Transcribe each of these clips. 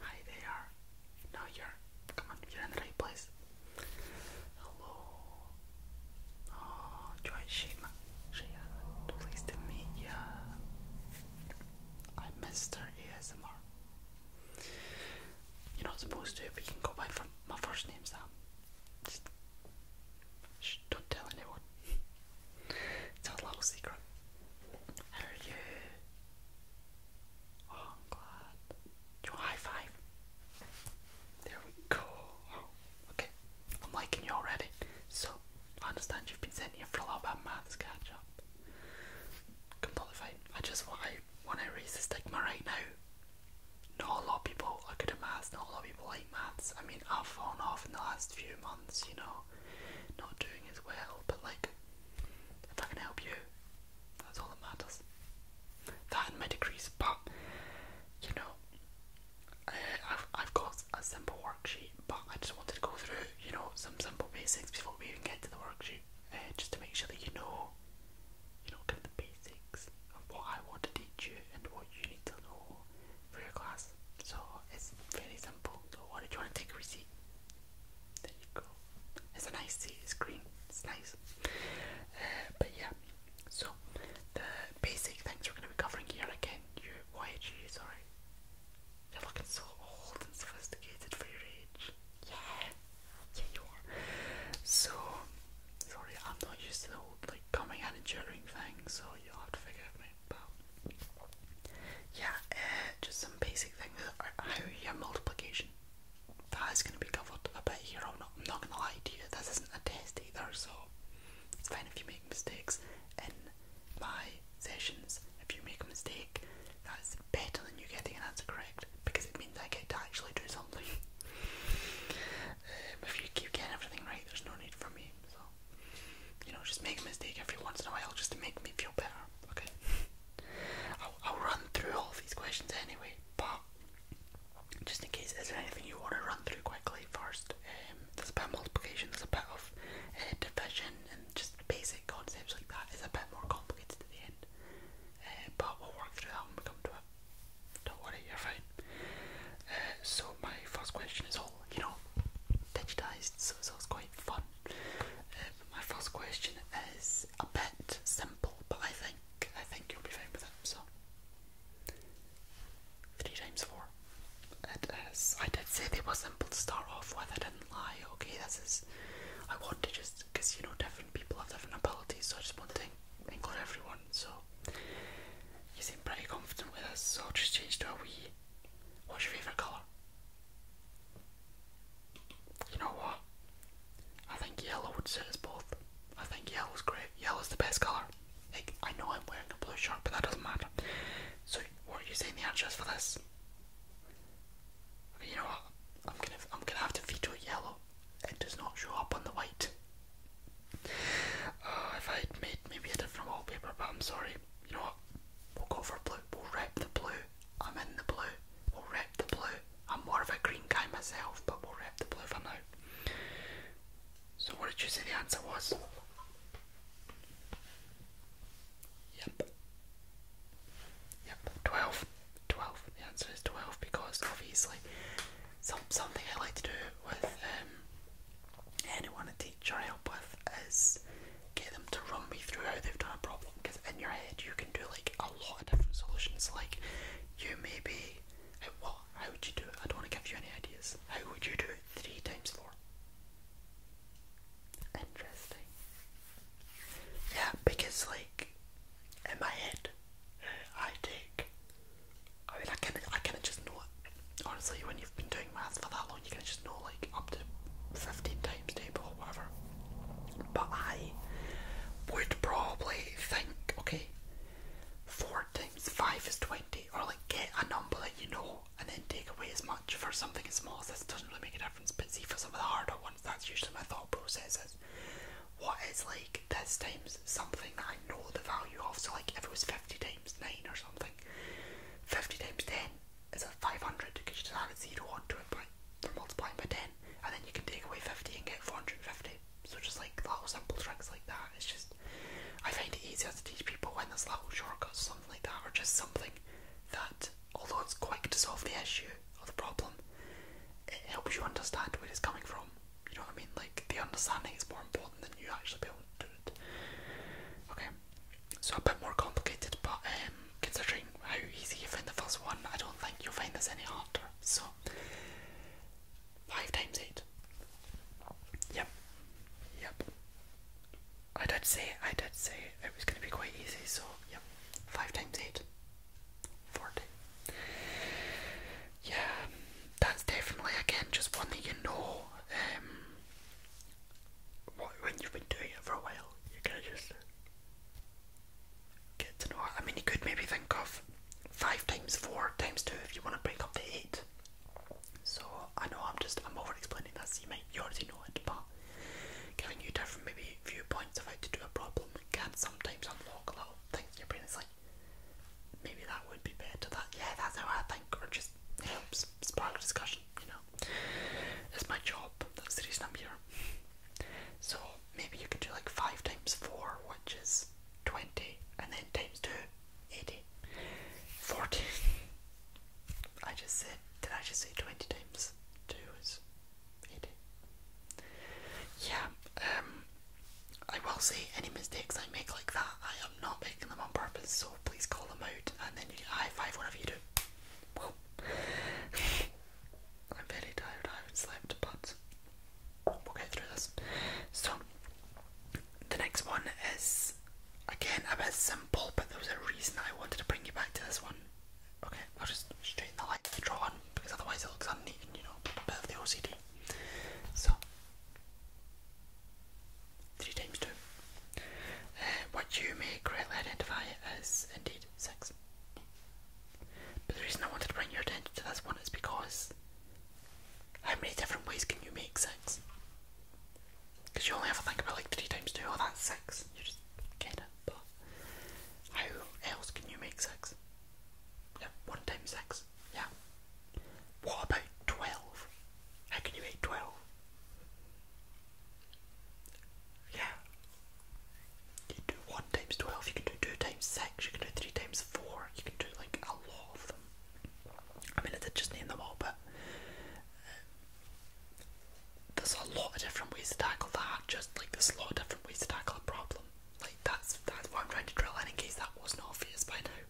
Hi there. No, you're. Come on, you're in the right place. Hello. Oh, Joy Shima. Shia, pleased to meet ya. I missed her ASMR. You're not supposed to, but you can go by from my first name, Sam. Just don't tell anyone. it's our little secret. How are you? Oh, i Do a high five? There we go. okay, I'm liking you already. So, I understand you've been sitting here for a little of maths catch up. Completely fine. I just want I want to raise the stigma right now. Not a lot of people are good at Not a lot of people maths. I mean, I've fallen off in the last few months, you know, not doing as well, but like, if I can help you, that's all that matters. That and my degrees, but you know, uh, I've, I've got a simple worksheet, but I just wanted to go through, you know, some simple basics before we even get to the worksheet, uh, just to make sure that you know, you know, kind of the basics of what I want to teach you and what you need to know for your class. So it's very simple. So what did you want to take a receipt? There you go. It's a nice seat, it's green, it's nice. Uh, but yeah, so the basic things we're going to be covering here again, your YG, sorry. You're looking so old and sophisticated for your age. Yeah, yeah, you are. So, sorry, I'm not used to the old, like, coming and cheering things. so you'll have to forgive me yeah, uh, just some basic things. How uh, your multiplication that is going to be covered a bit here. i not, I'm not going to lie to you. This isn't a test either, so it's fine if you make mistakes in my sessions. If you make a mistake, that's better than you getting an answer correct because it means I get to actually do something. Um, if you keep getting everything right, there's no need for me. So you know, just make a mistake every once in a while just to make me feel better. Okay. I'll, I'll run through all these questions anyway, but just in case, is there anything you want to run through quickly first? Um, there's a bit multiplication, there's a bit of uh, division, and just basic concepts like that is a bit more complicated at the end. Uh, but we'll work through that when we come to it. Don't worry, you're fine. Uh, so my first question is all you know digitized, so, so it's quite fun. Uh, my first question is a bit simple, but I think I think you'll be fine with it. So three times four. It is. I did say they were simple to start off with. they didn't lie. Okay, this is. I want to just because you know different people have different abilities, so I just want to include everyone. So you seem pretty confident with us, so I'll just change to a wee. What's your favourite colour? You know what? I think yellow would suit us both. I think yellow's great. Yellow's the best colour. I know I'm wearing a blue shirt, but that doesn't matter. So, what are you saying the answer is for this? You know what? I'm gonna, I'm gonna have to veto yellow. It does not show up on the white. Uh, if I made maybe a different wallpaper, but I'm sorry. You know what? We'll go for blue. We'll rep the blue. I'm in the blue. We'll rep the blue. I'm more of a green guy myself, but we'll rep the blue for now. So, what did you say the answer was? Yep. Yep, 12. 12. The answer is 12 because obviously some, something I like to do with um, anyone to teach or help with is get them to run me through how they've done a problem because in your head you can do like a lot of different solutions. Like you maybe, what? How would you do it? I don't want to give you any ideas. How would you do it? Three times four. Interesting. Yeah, because like in my head, I take I mean, I kind of, I kind of just know it. Honestly, when you've been doing math for that long, you kind of just know like up to 15 times table or whatever. But I would probably think, okay, four times five is 20, or like get a number that you know and then take away as much for something as small as this doesn't really make a difference. But see, for some of the harder ones, that's usually my thought process is what is like this times something that I know the value of. So, like if it was 50 times 9 or something, 50 times 10 is a 500 because you just add a 0 onto it by, by multiplying by 10, and then you can take away 50 and get 450. So, just like little simple tricks like that, it's just I find it easier to teach people when there's little shortcuts or something like that, or just something that, although it's quick to solve the issue or the problem, it helps you understand where it's coming from you know what I mean? Like the understanding is more important than you actually be able Okay, so a bit more complicated, but um, considering how easy you find the first one, I don't think you'll find this any harder. So five times eight. Yep. Yep. I did say I did say it was going to be quite easy. So yep, five times eight. Forty yeah, that's definitely again just one that you know. Um, when you've been doing it for a while, you kind of just get to know I mean, you could maybe think of five times four times two if you want to break up to eight. So I know I'm just I'm over explaining that, so you might you already know it, but giving you different maybe viewpoints of how to do a problem can sometimes unlock little things in your brain. is like maybe that would be better. That yeah, that's how I think, or just helps spark discussion. You know, it's my job. That's the reason I'm here. So maybe you can do like five times four, which is twenty, and then times two, eighty. Forty. I just said. Did I just say twenty times two is eighty? yeah, um, I will say any mistakes I make like that, I am not making them on purpose, so please call them out and then you high five whatever you do. Well, I'm very tired, I haven't slept, but we'll get through this. So, the next one is again a bit simple, but there was a reason I wanted to bring you back to this one. Okay, I'll just straighten the line, to draw one, because otherwise it looks unneat you know, a bit of the OCD so three times two uh, what you may correctly identify as indeed sex. but the reason I wanted to bring your attention to that's one is because how many different ways can you make sex? Because you only have to think about like three times two, oh that's sex. You just get it, but how else can you make six? No, 1 times 6. Yeah. What about 12? How can you make 12? Yeah. You can do 1 times 12, you can do 2 times 6, you can do 3 times 4, you can do like a lot of them. I mean, I did just name them all, but uh, there's a lot of different ways to tackle that, just like there's a lot of different ways to tackle a problem. Like that's that's what I'm trying to drill in in case that wasn't obvious by now.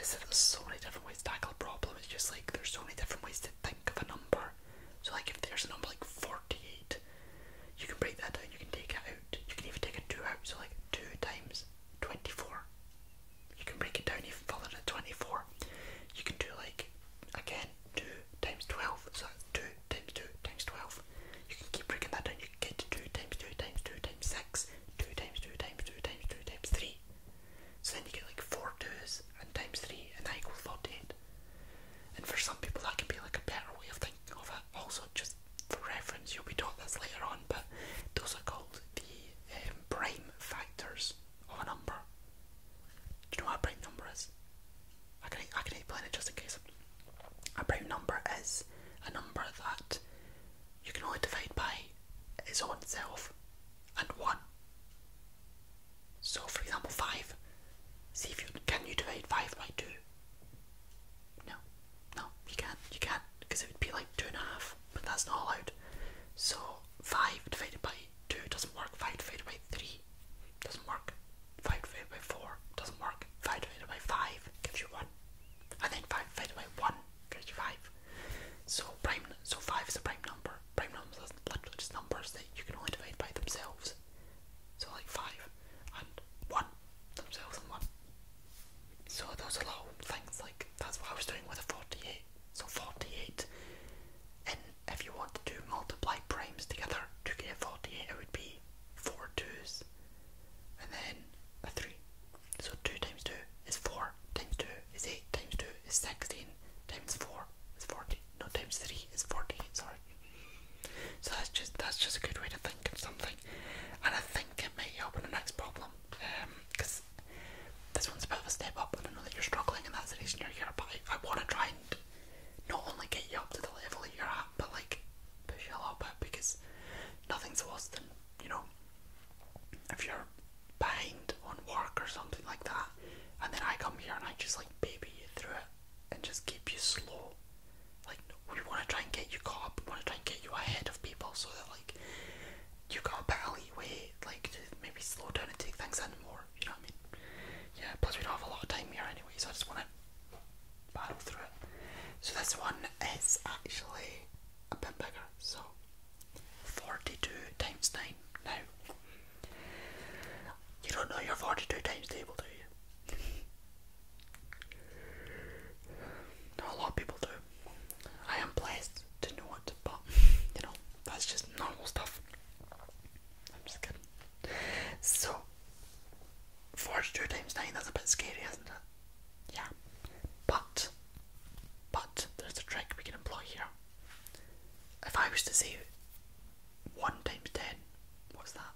Is that there's so many different ways to tackle a problem. It's just like there's so many different ways to think of a number. So like if there's a number like 48, you can break that down. You can take it out. You can even take a two out. So like two times 24. You can break it down even further to 24. You can do like again two times 12. So two times two times 12. You can keep breaking that down. You get 2 times 2 times 2 times 6, 2 times 2 times 2 times 2 times 3. So then you get like 4 2s and times 3 and that equals 48. And for some people that can be like a better way of thinking of it. Also, just for reference, you'll be taught this later on, but those are called the um, prime factors of a number. Do you know what a prime number is? I can I can explain it just in case. A prime number is a number that you can only divide by its own self and one. So, for example, five. See if you can you divide five by two. No, no, you can't. You can't because it would be like two and a half, but that's not allowed. So five divided by two doesn't work. Five divided by three doesn't work. 5 divided by 4 doesn't work. 5 divided by 5 gives you 1. And then 5 divided by 1 gives you 5. So prime, so 5 is a prime number. Prime numbers are just numbers that you can only divide by themselves. So like 5 and 1 themselves and 1. So those are little things like, that's what I was doing with a 48. So 48, and if you want to multiply primes together to get 48, it would be four twos, and then a three. So two times two is four, times two is eight, times two is sixteen, times four is fourteen. No, times three is fourteen. Sorry. So that's just that's just a good way to think of something, and I think it may help in the next problem. because um, this one's a bit of a step up, and I know that you're struggling, in that situation reason here. But I, I want to try and not only get you up to the level you're at, but like push you a little bit because nothing's worse than, you know, if you're behind on work or something like that, and then I come here and I just like baby you through it and just keep you slow. Like, we want to try and get you caught up, we want to try and get you ahead of people so that like you got a bit of leeway, like to maybe slow down and take things in more you know what I mean? Yeah, plus we don't have a lot of time here anyway, so I just want to battle through it. So this one is actually a bit bigger, so 42 times 9. Now, you don't know your 42 times table, do you? Not a lot of people do. I am blessed to know it, but you know, that's just normal stuff. I'm just kidding. So, 42 times 9, that's a bit scary, isn't it? Yeah. But, but, there's a trick we can employ here. If I was to say 1 times 10, what's that?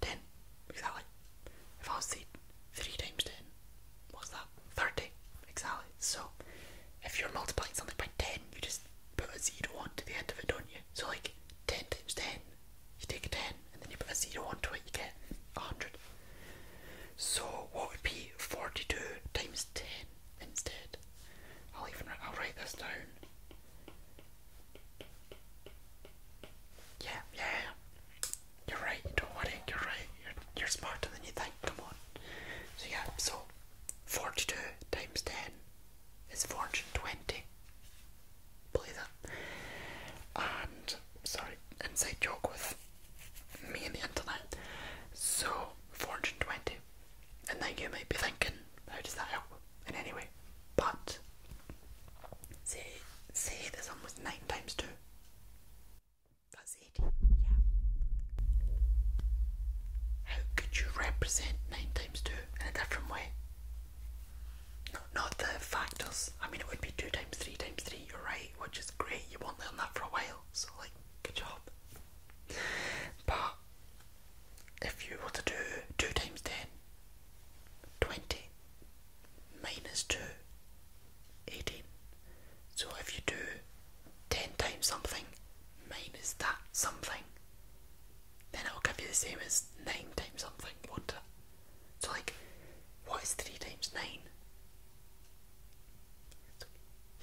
10, exactly. If I was to 3 times 10, what's that? 30, exactly. So, if you're multiplying something by 10, you just put a 0 onto the end of it, don't you? So like ten times ten, you take a ten and then you put a zero onto it, you get a hundred. So what would be forty-two times ten instead? I'll even I'll write this down. Yeah, yeah, you're right. Don't worry, you're right. You're you're smarter than you think. Come on. So yeah, so forty-two times ten it's 420. Believe that. And, sorry, inside joke with me and the internet. So, 420. And then you may be thinking, how does that help in any way? But, see, say this one was 9 times 2. That's 80. Yeah. How could you represent 9 times 2? in a different way. not the factors. I mean, it would be two times three times three. You're right, which is great. You won't learn that for a while, so like, good job. But if you were to do two times ten, twenty, minus two, eighteen. So if you do 10 times something minus that something, then it'll give you the same as 9 times something, won't So, like, what is 3 times 9? So,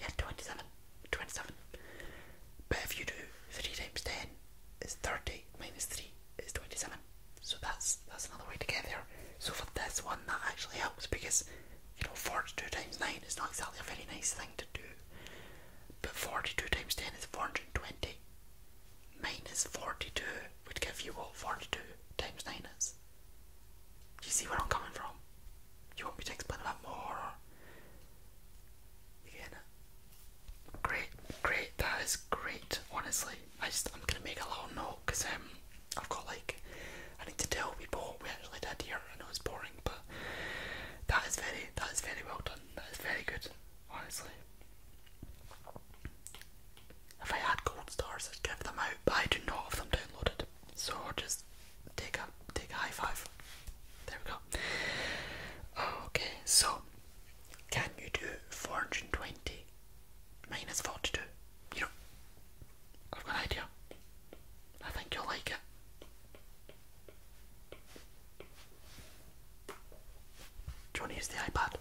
yeah, 27. 27. But if you do 3 times 10 is 30 minus 3 is 27. So that's that's another way to get there. So for this one that actually helps because you know 42 times 9 is not exactly a very nice thing to do. But 42 times 10 is 420. Minus 42 would give you what 42 times 9 is. Do you see where I'm coming from? You want me to explain a lot more? Or Great, great. That is great. Honestly, I just I'm gonna make a little note because um I've got like I need to tell people we actually did here. I know it's boring but that is very that is very well done. That is very good, honestly. If I had gold stars, I'd give them out, but I do not have them downloaded, so just take a take a high five. There we go. Okay, so can you do four hundred and twenty minus forty two? You know, I've got an idea. I think you'll like it. Johnny you the iPad?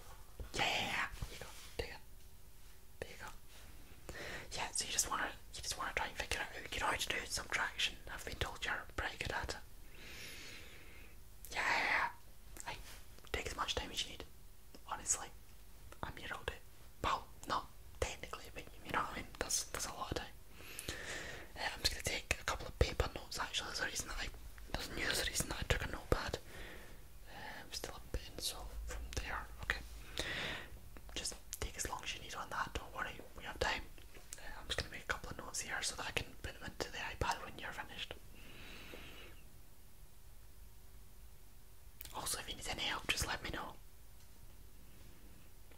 Yeah, here you go. There you go. Yeah, so you just wanna you just wanna try and figure out you know how to do subtraction. I've been told you're pretty good at it. Yeah. take as much time as you need. Honestly. I'm your old pal. Not technically, but you know what I mean? That's that's a lot of time. I'm just going to take a couple of paper notes actually. There's a reason that I, there's not use a reason that I took a notepad. I'm um, still a bit insolvent from there. Okay. Just take as long as you need on that, don't worry, we have time. Uh, I'm just going to make a couple of notes here so that I can put them into the iPad when you're finished. Also, if you need any help, just let me know.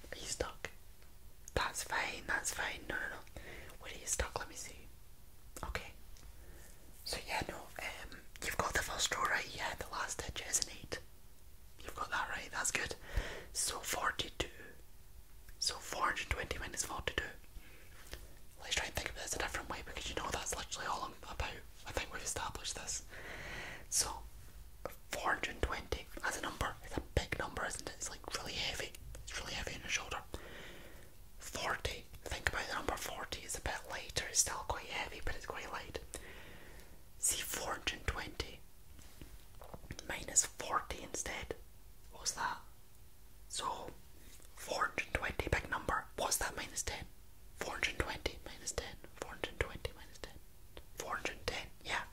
Are you stuck? That's fine, that's fine. No, no, Where are you stuck? Let me see. Okay. So, yeah, no, um, you've got the first row right, yeah, the last digit is an 8. You've got that right, that's good. So, 42. So, 420 minus 42. Let's try and think of this a different way because you know that's literally all I'm about. I think we've established this. So, 420 That's a number It's a big number, isn't it? It's like really heavy. It's really heavy on your shoulder. 40. Think about the number 40. It's a bit lighter. It's still quite heavy, but it's quite light. See 420 minus 40 instead. What's that? So 420, big number. What's that minus 10? 420 minus 10. 420 minus 10. 410, yeah.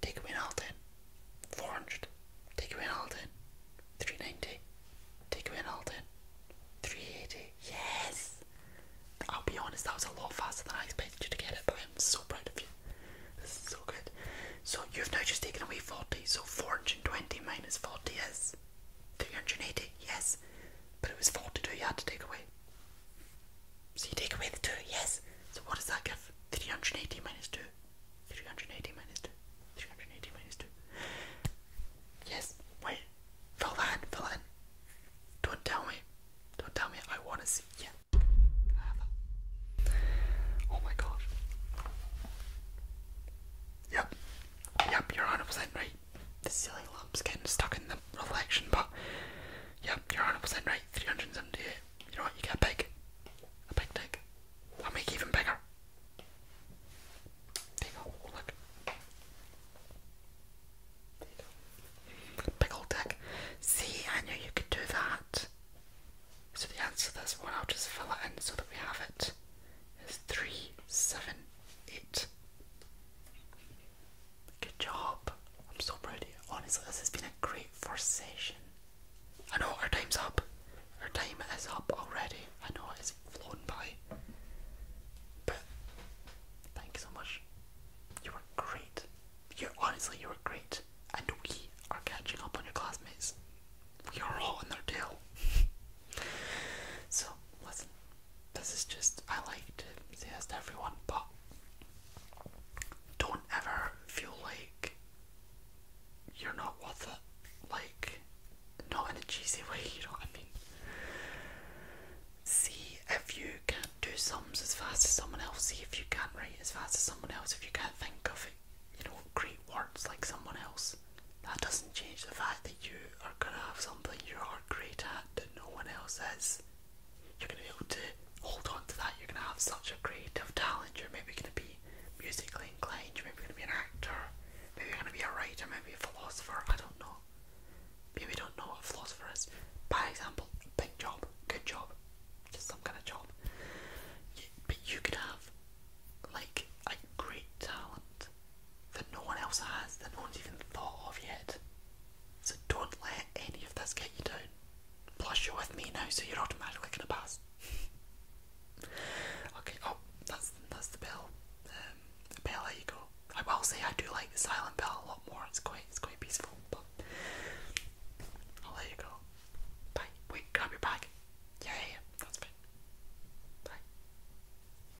Take away all 10. take away all 10. 390, take away all 10. 380, yes! I'll be honest, that was a lot faster than I expected you to get it, but I'm so proud of you. This is so good. So you've now just taken away 40, so 420 minus 40 is 380, yes. But it was 42 you had to take away. So you take away the 2, yes. So what does that give? 380 minus 2. 380 minus 2. 380 minus 2. Yes, wait. Fill that in, fill that in. Don't tell me. Don't tell me. I want to see. Yeah. Oh my god. Yep. Yep, you're 100% right the silly lumps getting stuck in the reflection, but yeah, you're 100% right. 378. You know what? You get big. A big dick. I'll make even bigger. There you go. Look. There you go. Big old dick. See, I knew you could do that. So the answer to this one, I'll just fill it in so that we have it, is 378. Good job. I'm so proud Honestly, this has been a great first session. I know our time's up. Our time is up already. I know it's flown by. But thank you so much. You were great. You honestly you were great. And we are catching up on your classmates. We are all in their tail. so listen, this is just I like to say this everyone, but don't ever feel like you're not worth it. Like not in a cheesy way, you know what I mean? See if you can do sums as fast as someone else, see if you can't write as fast as someone else, if you can't think of it, you know, great words like someone else. That doesn't change the fact that you are going to have something you are great at that no one else is. You're going to be able to hold on to that. You're going to have such a creative talent. You're maybe going to be musically inclined. You're maybe going to be an actor. Maybe you're going to be a writer. Maybe a philosopher. I don't know. Maybe don't know what a philosopher is. By example, big job, good job, just some kind of job. but you could have like a great talent that no one else has, that no one's even thought of yet. So don't let any of this get you down. Plus, you're with me now, so you're automatically gonna pass. okay. Oh, that's that's the bell. Um, the bell. There you go. I will say I do like the silent bell a lot more. It's quite it's quite peaceful. I'll let you go. Bye. Wait, grab your bag. yeah, yeah. That's fine. Bye.